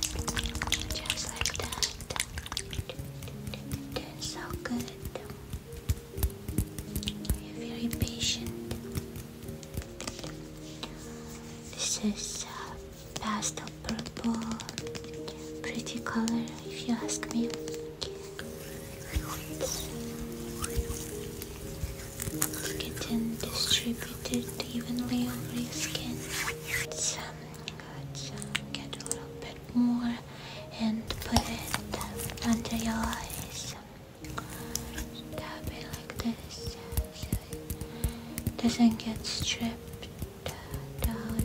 Just like that. That's so good. You're very patient. This is uh, pastel purple, pretty color, if you ask me. Get Kitten distributed evenly over your skin. Let's um, get a little bit more and put it under your eyes. Tap it like this doesn't get stripped down.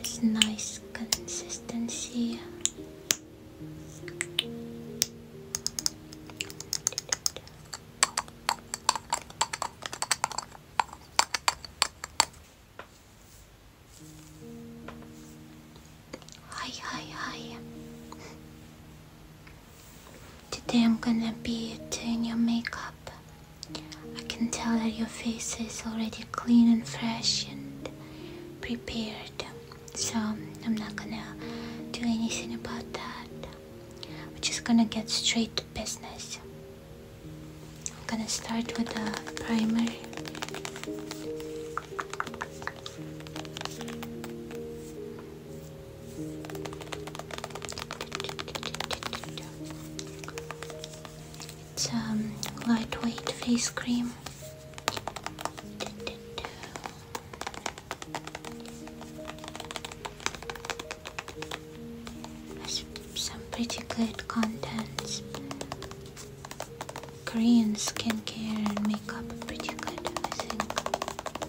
It's nice consistency. Hi, hi, hi. Today I'm gonna be doing your makeup. I can tell that your face is already clean and fresh and prepared, so I'm not gonna do anything about that. We're just gonna get straight to business. I'm gonna start with the primer. It's um, lightweight face cream. some pretty good contents. Korean skincare and makeup pretty good, I think.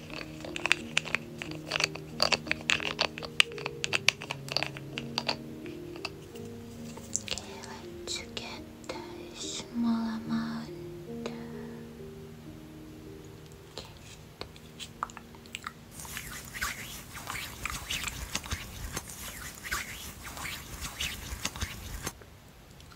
Okay, let's get a small amount.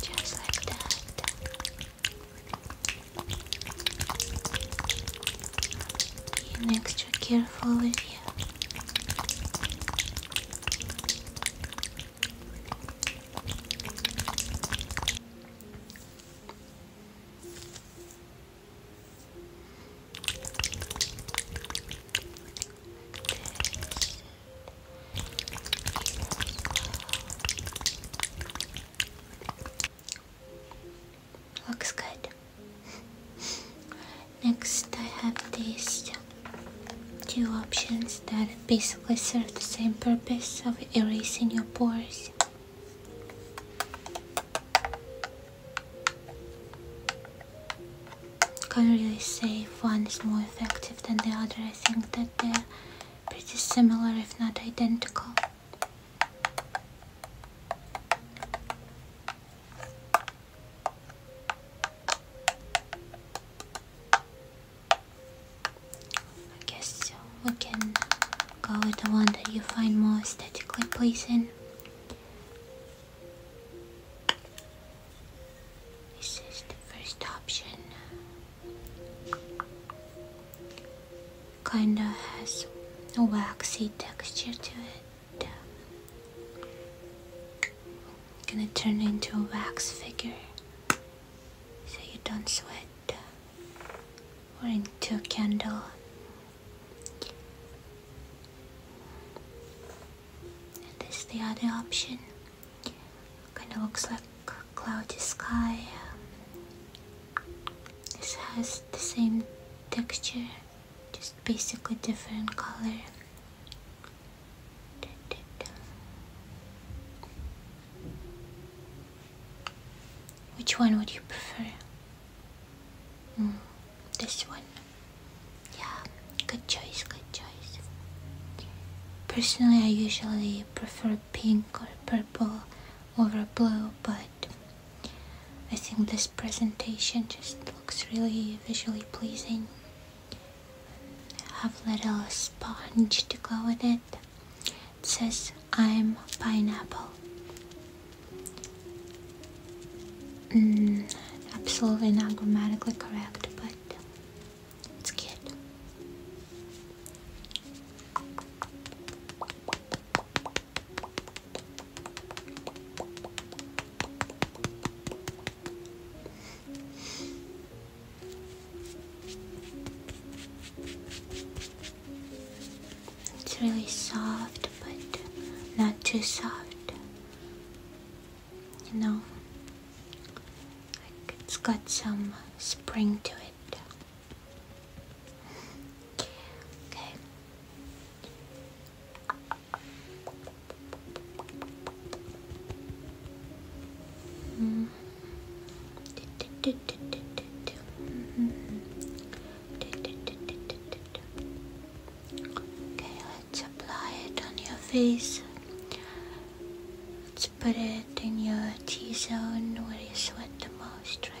Just like that. Being extra careful with you. Looks good. Next, I have these two options that basically serve the same purpose of erasing your pores. Can't really say one is more effective than the other. I think that they're pretty similar, if not identical. I guess we can go with the one that you find more aesthetically pleasing. This is the first option. Kinda has a waxy texture to it. Gonna turn into a wax figure so you don't sweat or into candle. And this is the other option. Kind of looks like cloudy sky. This has the same texture, just basically different color. Which one would you prefer? Hmm, this one. Yeah, good choice, good choice. Personally, I usually prefer pink or purple over blue, but I think this presentation just looks really visually pleasing. I have little sponge to go with it says I'm pineapple. Mm, absolutely not grammatically correct, but it's cute. It's really soft, but not too soft. You know, it's got some spring to it. Okay. Mm. Okay, let's apply it on your face. Let's put it in your T zone where you sweat the most, right?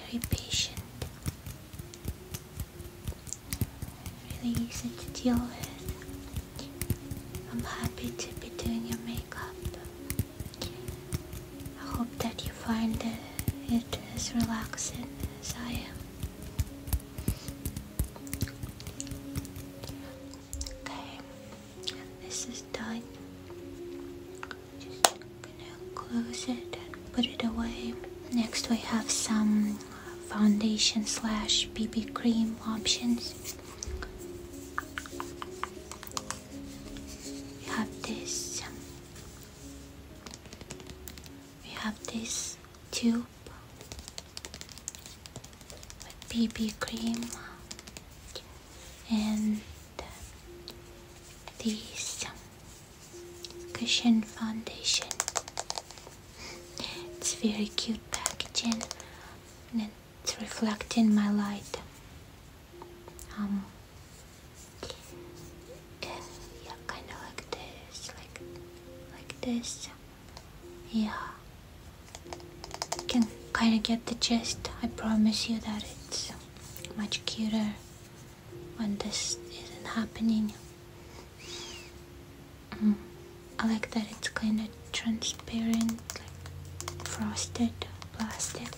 very patient. Really easy to deal with. I'm happy to be doing your makeup. I hope that you find it as relaxing as I am. Okay, and this is done. Just gonna close it and put it away. Next we have some foundation slash BB cream options. We have this. We have this tube with BB cream and uh, this um, cushion foundation. It's very cute packaging and it's reflecting my light. Um, yeah, kind of like this, like like this. Yeah, can kind of get the gist. I promise you that it's much cuter when this isn't happening. Mm. I like that it's kind of transparent, like frosted plastic.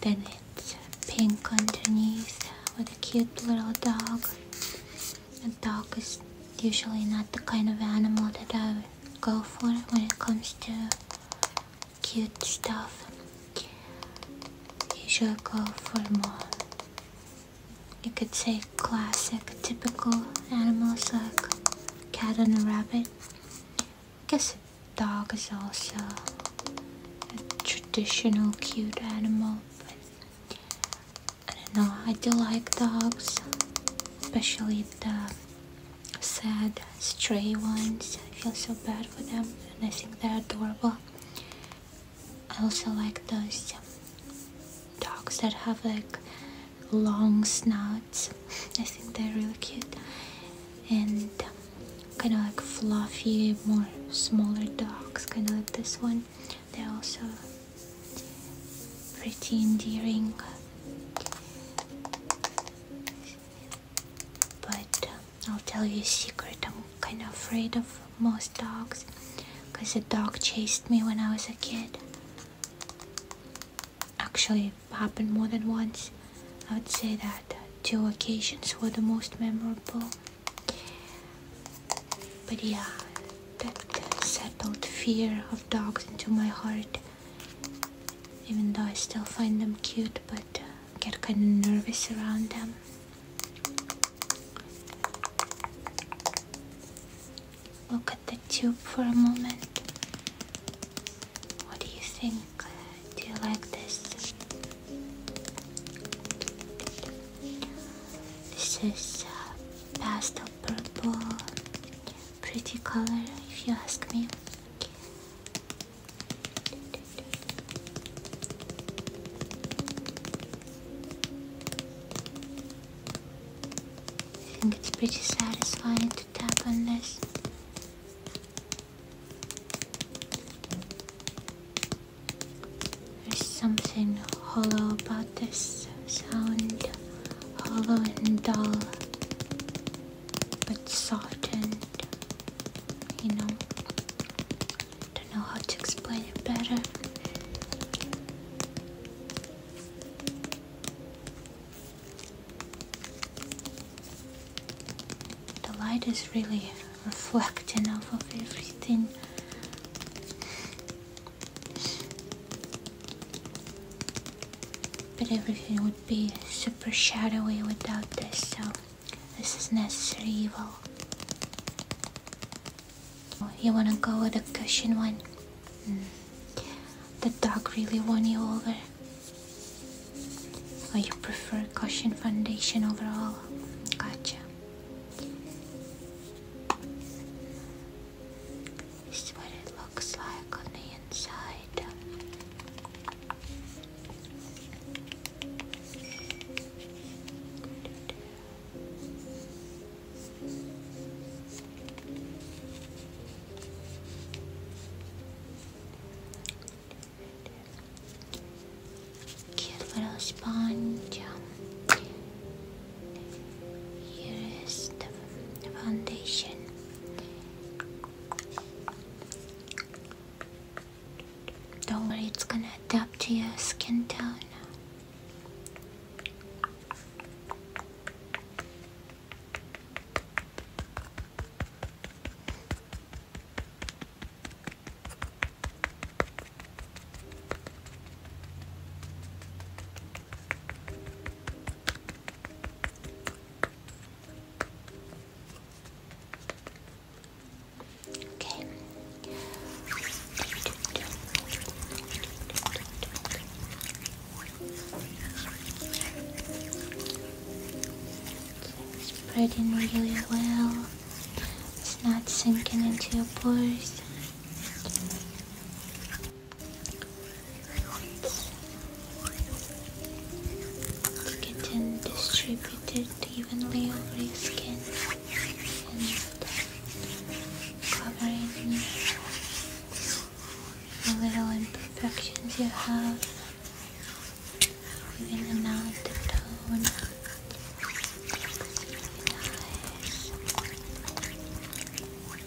Then it's pink underneath with a cute little dog. A dog is usually not the kind of animal that I go for when it comes to cute stuff. You should go for more. You could say classic, typical animals like cat and rabbit. I guess dog is also a traditional cute animal. But I don't know. I do like dogs, especially the sad stray ones. I feel so bad for them and I think they're adorable. I also like those um, dogs that have like long snouts. I think they're really cute. And um, kind of like fluffy, more smaller dogs, kind of like this one. They're also pretty endearing. But um, I'll tell you a secret, I'm kind of afraid of most dogs because a dog chased me when I was a kid. Actually, it happened more than once. I would say that uh, two occasions were the most memorable. But yeah, that uh, settled fear of dogs into my heart even though I still find them cute, but uh, get kind of nervous around them. Look at the tube for a moment. What do you think? Do you like this? This is uh, pastel purple pretty color, if you ask me. I think it's pretty satisfying to tap on this. There's something hollow about this sound, hollow and dull but softened, you know. Don't know how to explain it better. The light is really reflecting off of everything but everything would be super shadowy without this, so this is necessary evil. You wanna go with a cushion one? Hmm. The dog really won you over. Or you prefer cushion foundation overall? Gotcha looks like on the inside. Cute little sponge. Here is the foundation. Don't worry, it's gonna adapt to your skin tone. Okay. Spreading really well. It's not sinking into your pores. You can then distribute it evenly over your skin and covering any little imperfections you have, even the mouth, tone,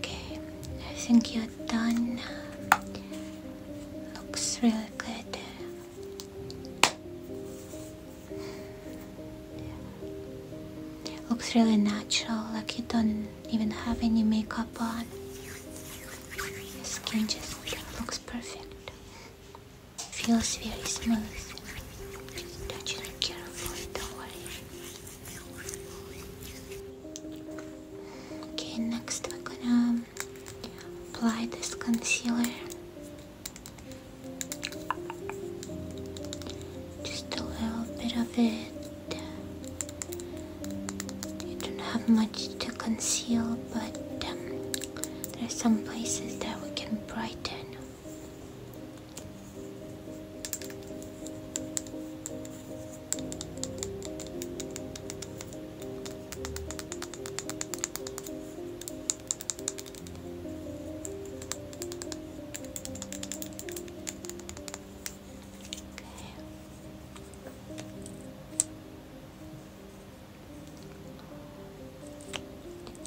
Okay, I think you're done. Um, looks really good. Looks really natural, like you don't even have any makeup on. Your skin just looks perfect. Feels very smooth. Just touch it carefully, don't worry. Okay, next I'm gonna apply this concealer. Just a little bit of it you don't have much to conceal, but um, there are some places that we can brighten. Okay.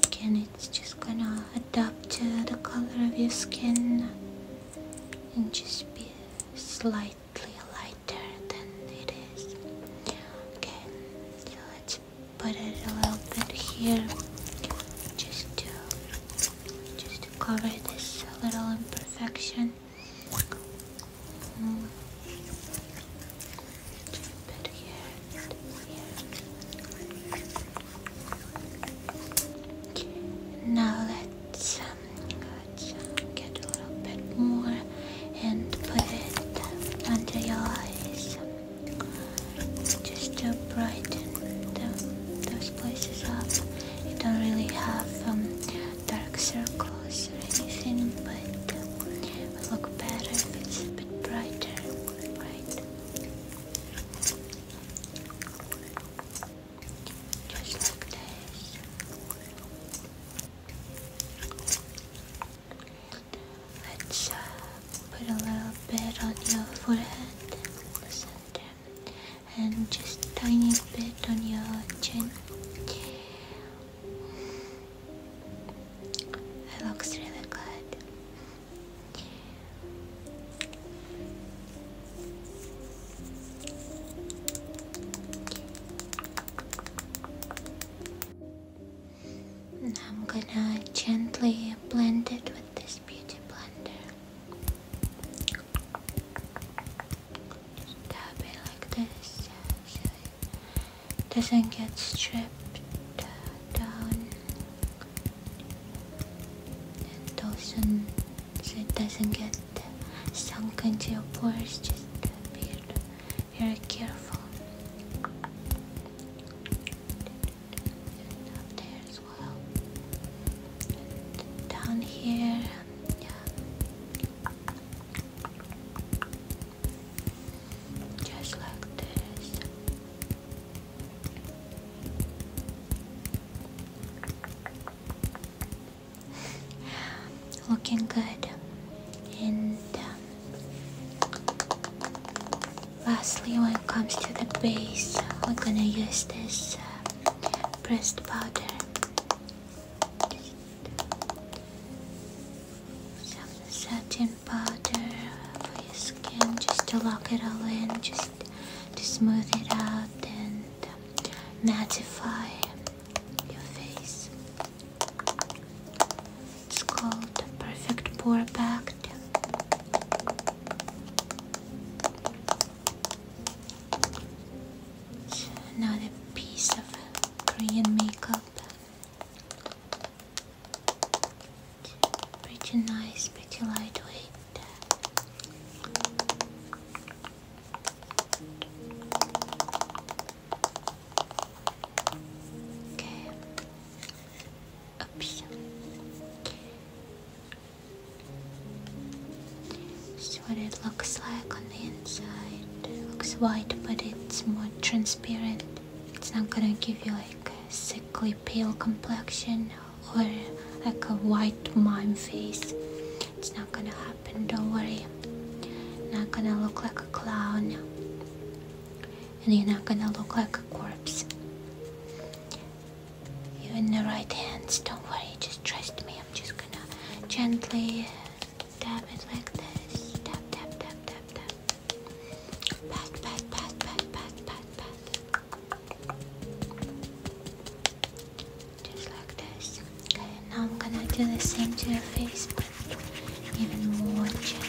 Again, it's just gonna adapt to the color of your skin and just be slightly lighter than it is. Okay, so let's put it a little bit here just to just to cover this little imperfection. Now let's um, get a little bit more and put it under your eyes just to brighten the, those places up you don't really have um, dark circles or anything, but um, it will look better if it's a bit brighter, right? Just like this. Let's uh, put a little bit on your forehead and just tiny bit on your chin. It looks really good. And I'm gonna gently blend it with this beauty blender. Tap it like this so it doesn't get stripped down and doesn't it doesn't get sunk into your pores. Just be very careful. down here just like this. Looking good, and um, lastly, when it comes to the base, we're gonna use this uh, pressed powder. Some satin powder for your skin just to lock it all in, just to smooth it out and um, mattify your face. It's called the perfect pour back another piece of Korean makeup. Pretty nice, pretty lightweight. Okay. Oops. This is what it looks like on the inside. It looks white, but it's more transparent. It's not gonna give you like a sickly pale complexion or like a white mime face. It's not gonna happen, don't worry. Not gonna look like a clown. And you're not gonna look like a corpse. You're in the right hands, don't worry, just trust me. I'm just gonna gently tap it like this. Tap, tap, tap, tap, tap. Pat, pat, pat, pat, pat, pat, pat. Just like this. Okay, now I'm gonna do the same to your face, but even more gently.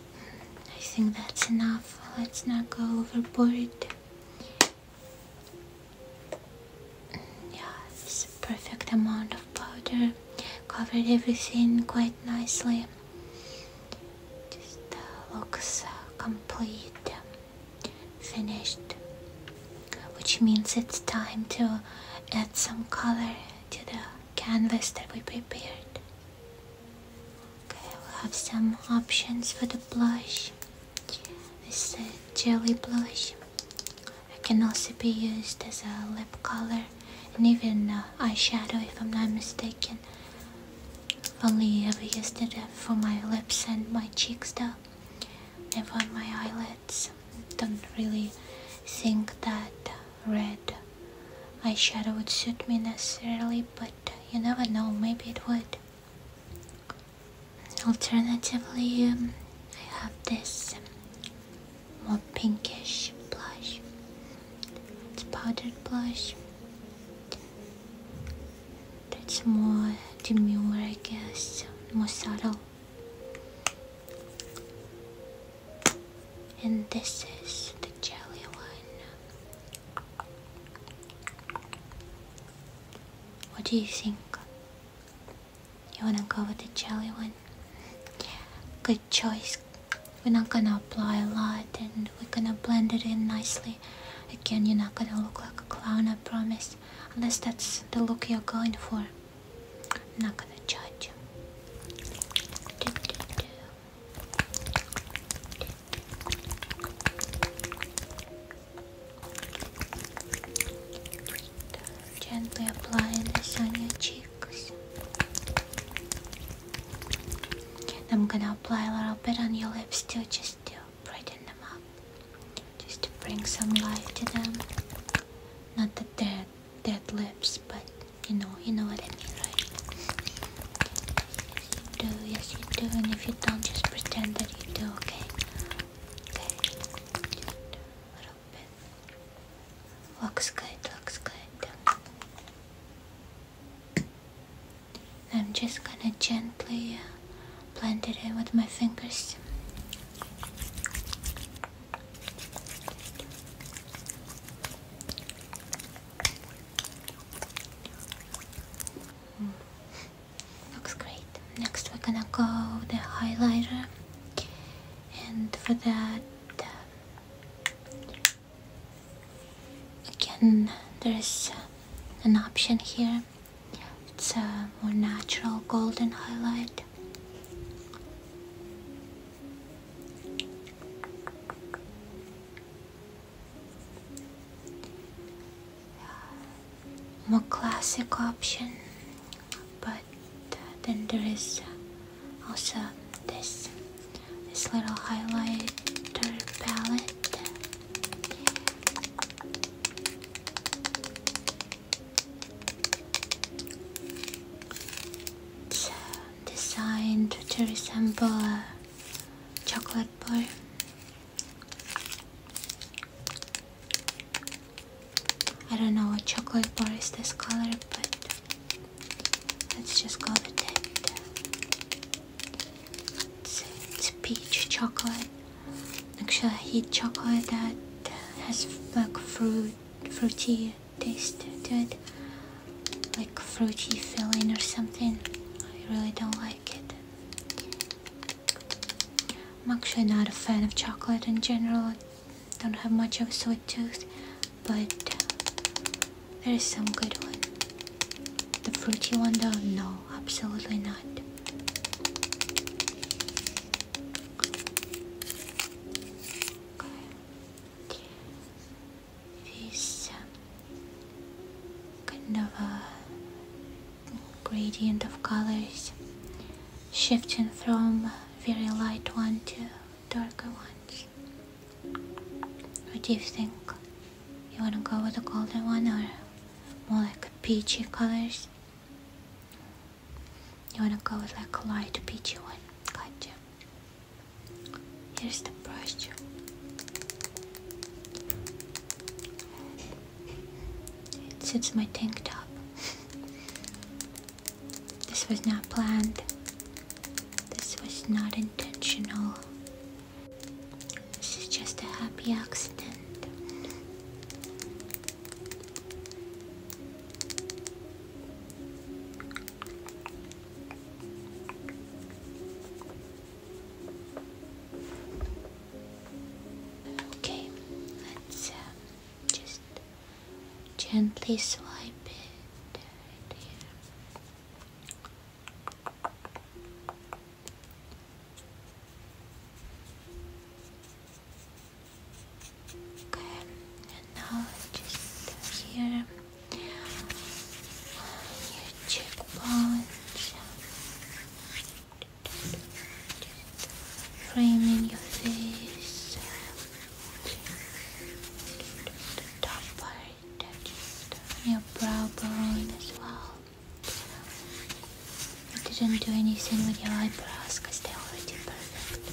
I think that's enough. Let's not go overboard. Yeah, it's a perfect amount of powder. Covered everything quite nicely. Just uh, looks uh, complete, finished. Which means it's time to add some color to the canvas that we prepared. Okay, we'll have some options for the blush. This jelly blush. It can also be used as a lip color and even uh, eyeshadow if I'm not mistaken. I've only ever used it for my lips and my cheeks though. Never on my eyelids. Don't really think that red eyeshadow would suit me necessarily, but you never know, maybe it would. Alternatively, um, I have this um, more pinkish blush. It's powdered blush. That's more demure, I guess, more subtle. And this is the jelly one. What do you think? You wanna go with the jelly one? Good choice. We're not gonna apply a lot and we're gonna blend it in nicely. Again, you're not gonna look like a clown, I promise. Unless that's the look you're going for. I'm not gonna judge. Do, Gently applying this on your cheeks. I'm gonna apply a little bit on your lips too, just to brighten them up. Just to bring some life to them. Not that they're dead lips, but you know, you know what I mean, right? Yes you do, yes you do, and if you don't, just pretend that you do, okay? Okay, a little bit. Looks good, looks good. I'm just gonna gently uh, blend it in with my fingers. Looks great. Next we're gonna go the highlighter and for that uh, again there's uh, an option here. It's a more natural golden highlight more classic option but uh, then there is uh, also this this little highlighter palette uh, designed to resemble a chocolate bar. I don't know what chocolate bar is this color, but let's just call it peach chocolate. Actually, I hate chocolate that has black fruit, fruity taste to it like fruity filling or something. I really don't like it. I'm actually not a fan of chocolate in general. I don't have much of a sweet tooth, but there is some good ones. The fruity one though, no, absolutely not this um, kind of a gradient of colors shifting from very light one to darker ones. What do you think? You wanna go with a golden one or more like peachy colors? You wanna go with like a light peachy one, gotcha. Here's the brush. It suits my tank top. this was not planned. This was not intentional. This is just a happy accident. Okay, let's uh, just gently swipe it Okay, and now just here your cheekbones, framing your face, the top part, your brow bone as well. I didn't do anything with your eyebrows because they're already perfect.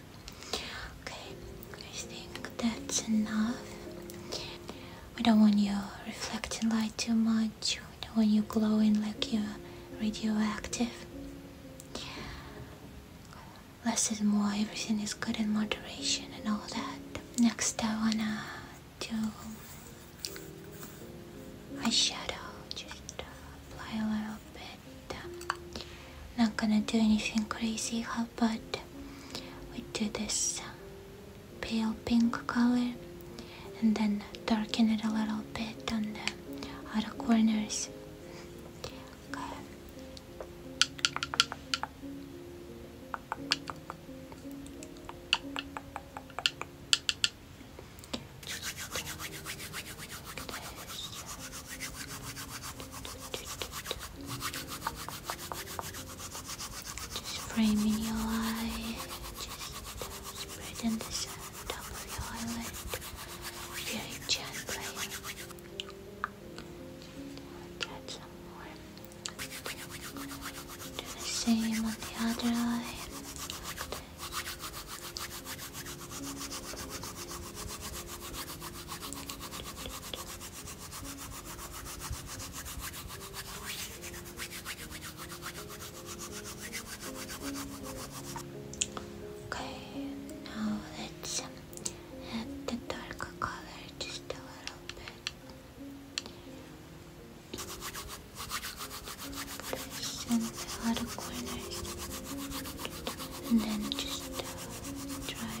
Okay, I think that's enough. We don't want you reflecting light too much. We don't want you glowing like you're radioactive. Less is more, everything is good in moderation and all that. Next I wanna do eyeshadow. Just apply a little bit and um, not gonna do anything crazy. How about we do this pale pink color and then darken it a little bit on the outer corners? Just frame in your eye, just spreading this on top of your eyelid very gently. Get some more. Do the same on the other eye. Okay, now let's add uh, the darker color just a little bit. Place in the other corners, and then just uh,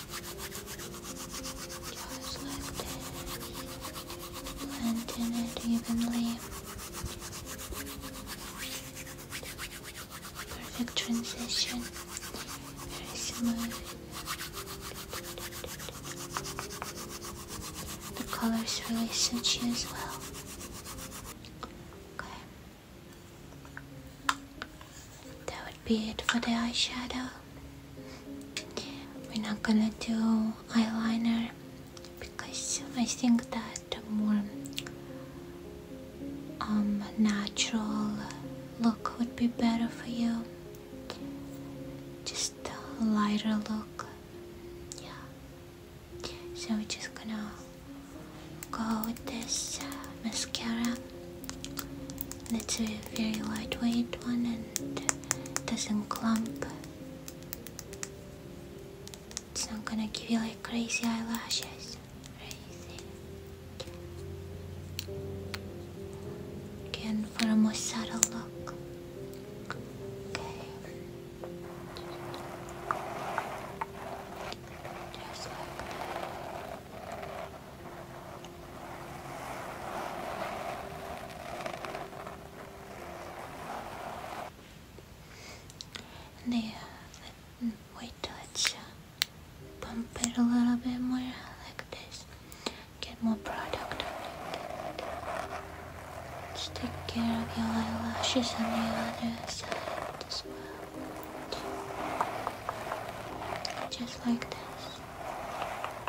Just like this, blending it evenly. Perfect transition, very smooth. The colors really suit you as well. Okay. That be it for the eyeshadow. We're not gonna do eyeliner because I think that the more um, natural look would be better for you. Just a lighter look. Yeah. So we're just gonna go with this uh, mascara. It's a very lightweight one and doesn't clump. It's not gonna give you like crazy eyelashes Again, for a more subtle look. Okay. Just there, wait till it's pump uh, it a little bit more like this. Get more product take care of your eyelashes on the other side Just like this.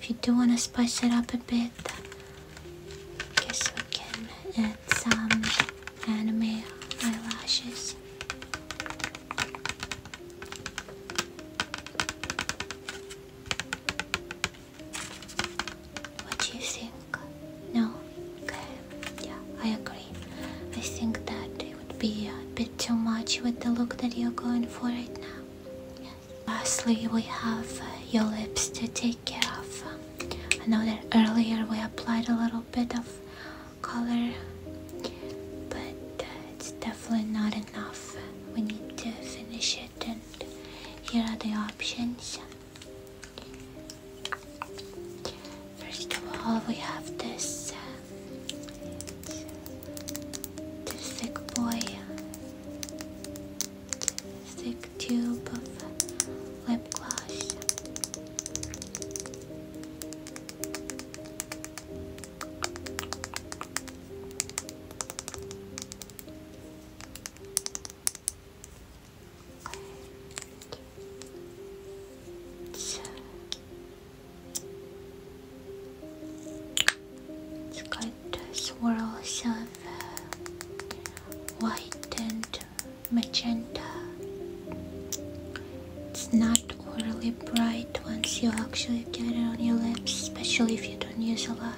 If you do want to spice it up a bit, I guess we can add some anime eyelashes. What do you think? No? Okay, yeah, I agree. I think that would be a bit too much with the look that you're going for right now. Lastly, we have uh, your lips to take care of. I know that earlier we applied a little bit of color, but uh, it's definitely not enough. We need to finish it, and here are the options. First of all, we have this uh, the sick boy, the tube of lip gloss. Okay. It's got swirls of white and magenta. It's not overly bright once you actually get it on your lips, especially if you don't use a lot.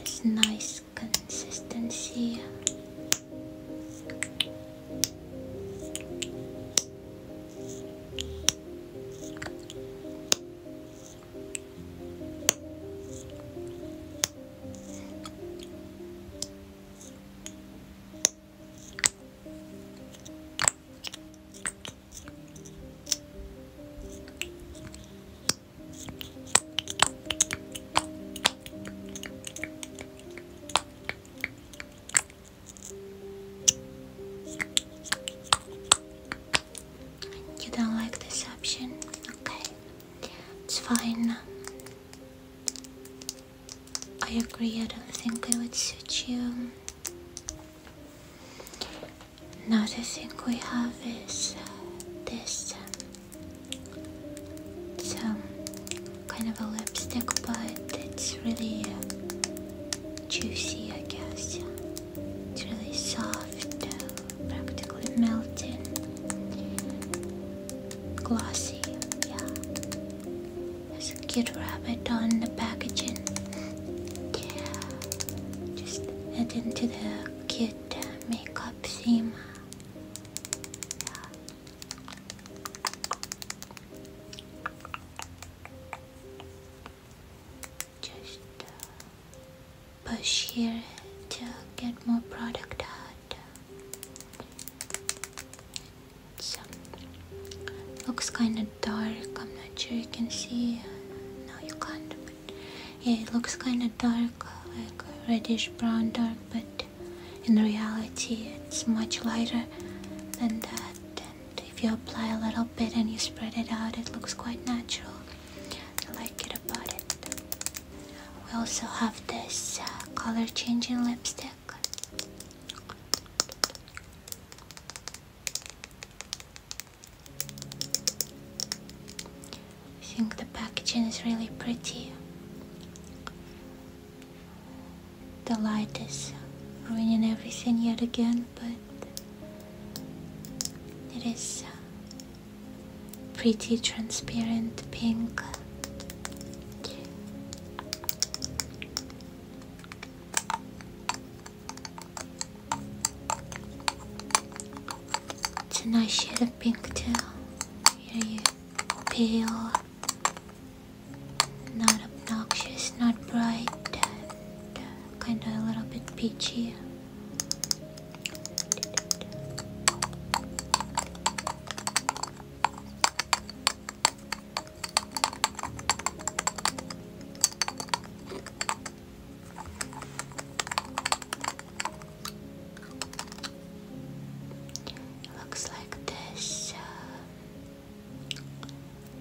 It's nice consistency. You don't like this option? Okay, it's fine. I agree, I don't think it would suit you. Another thing we have is uh, this. Um, it's kind of a lipstick, but it's really um, juicy, I guess. It's really soft, uh, practically melting, glossy, yeah. There's a cute rabbit on the packaging. Yeah. Just add into the cute uh, makeup theme. Just uh, push here to get more product out. So, looks kind of dark. I'm not sure you can see. Uh, no, you can't. yeah, it looks kind of dark, like reddish brown dark, but in reality, it's much lighter than that and if you apply a little bit and you spread it out, it looks quite natural. I like it about it. We also have this uh, color changing lipstick. I think the packaging is really pretty. The light is ruining everything yet again, but it is uh, pretty transparent pink. It's a nice shade of pink too. Here you pale, not obnoxious, not bright, uh, kind of a little bit peachy. It looks like this. Uh,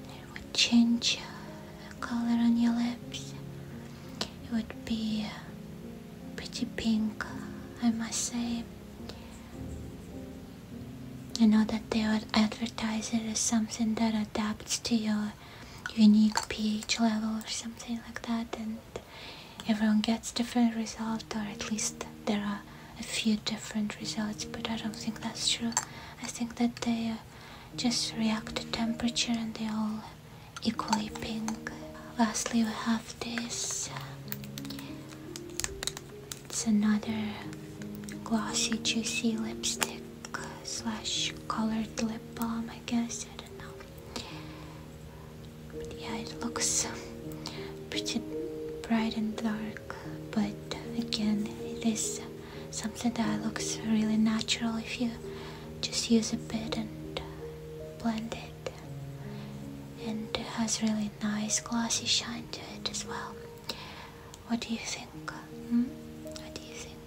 it would change uh, color on your lips. It would be uh, pretty pink, uh, I must say. I know that they would advertise it as something that adapts to your unique pH level or something like that, and everyone gets different results, or at least there are a few different results but I don't think that's true I think that they uh, just react to temperature and they all equally pink lastly we have this um, it's another glossy juicy lipstick uh, slash colored lip balm I guess I don't know yeah, it looks pretty bright and dark, but again, it is something that looks really natural if you just use a bit and blend it. And it has really nice glossy shine to it as well. What do you think? Hmm? What do you think?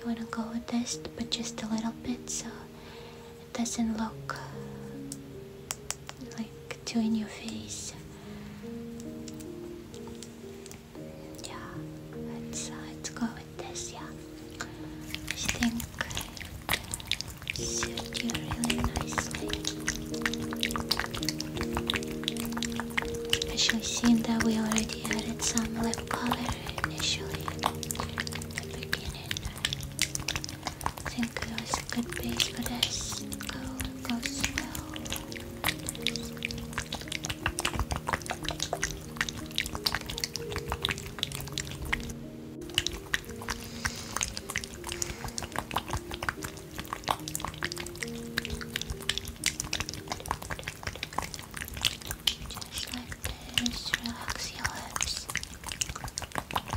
You wanna go with this, but just a little bit so it doesn't look like too in your face. Yeah, let's let's uh, go with this. Yeah, I think it suit you really nicely, especially seeing that we already added some lip color initially I think it was a good base for this. Go, go slow. Just like this, relax your hips.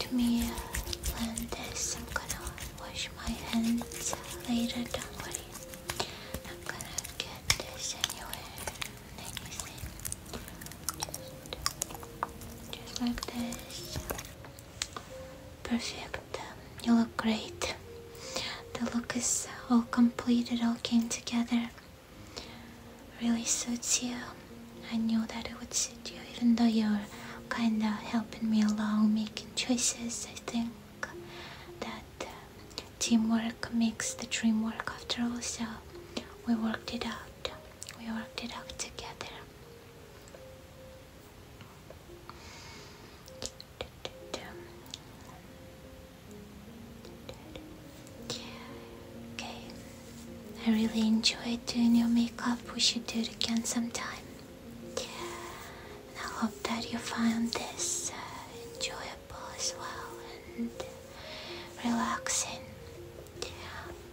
Let me blend this. I'm gonna wash my hands later, don't worry. i gonna get this anywhere. Let me see. Just, just like this. Perfect. You look great. The look is all completed, all came together really suits you. I knew that it would suit you, even though you're kinda helping me along making choices. I think that uh, teamwork makes the dream work after all, so we worked it out. We worked it out together. Okay. I really enjoyed doing your makeup. We should do it again sometime. And I hope that you found this uh, enjoyable as well and relaxing.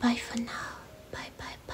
Bye for now. Bye, bye, bye.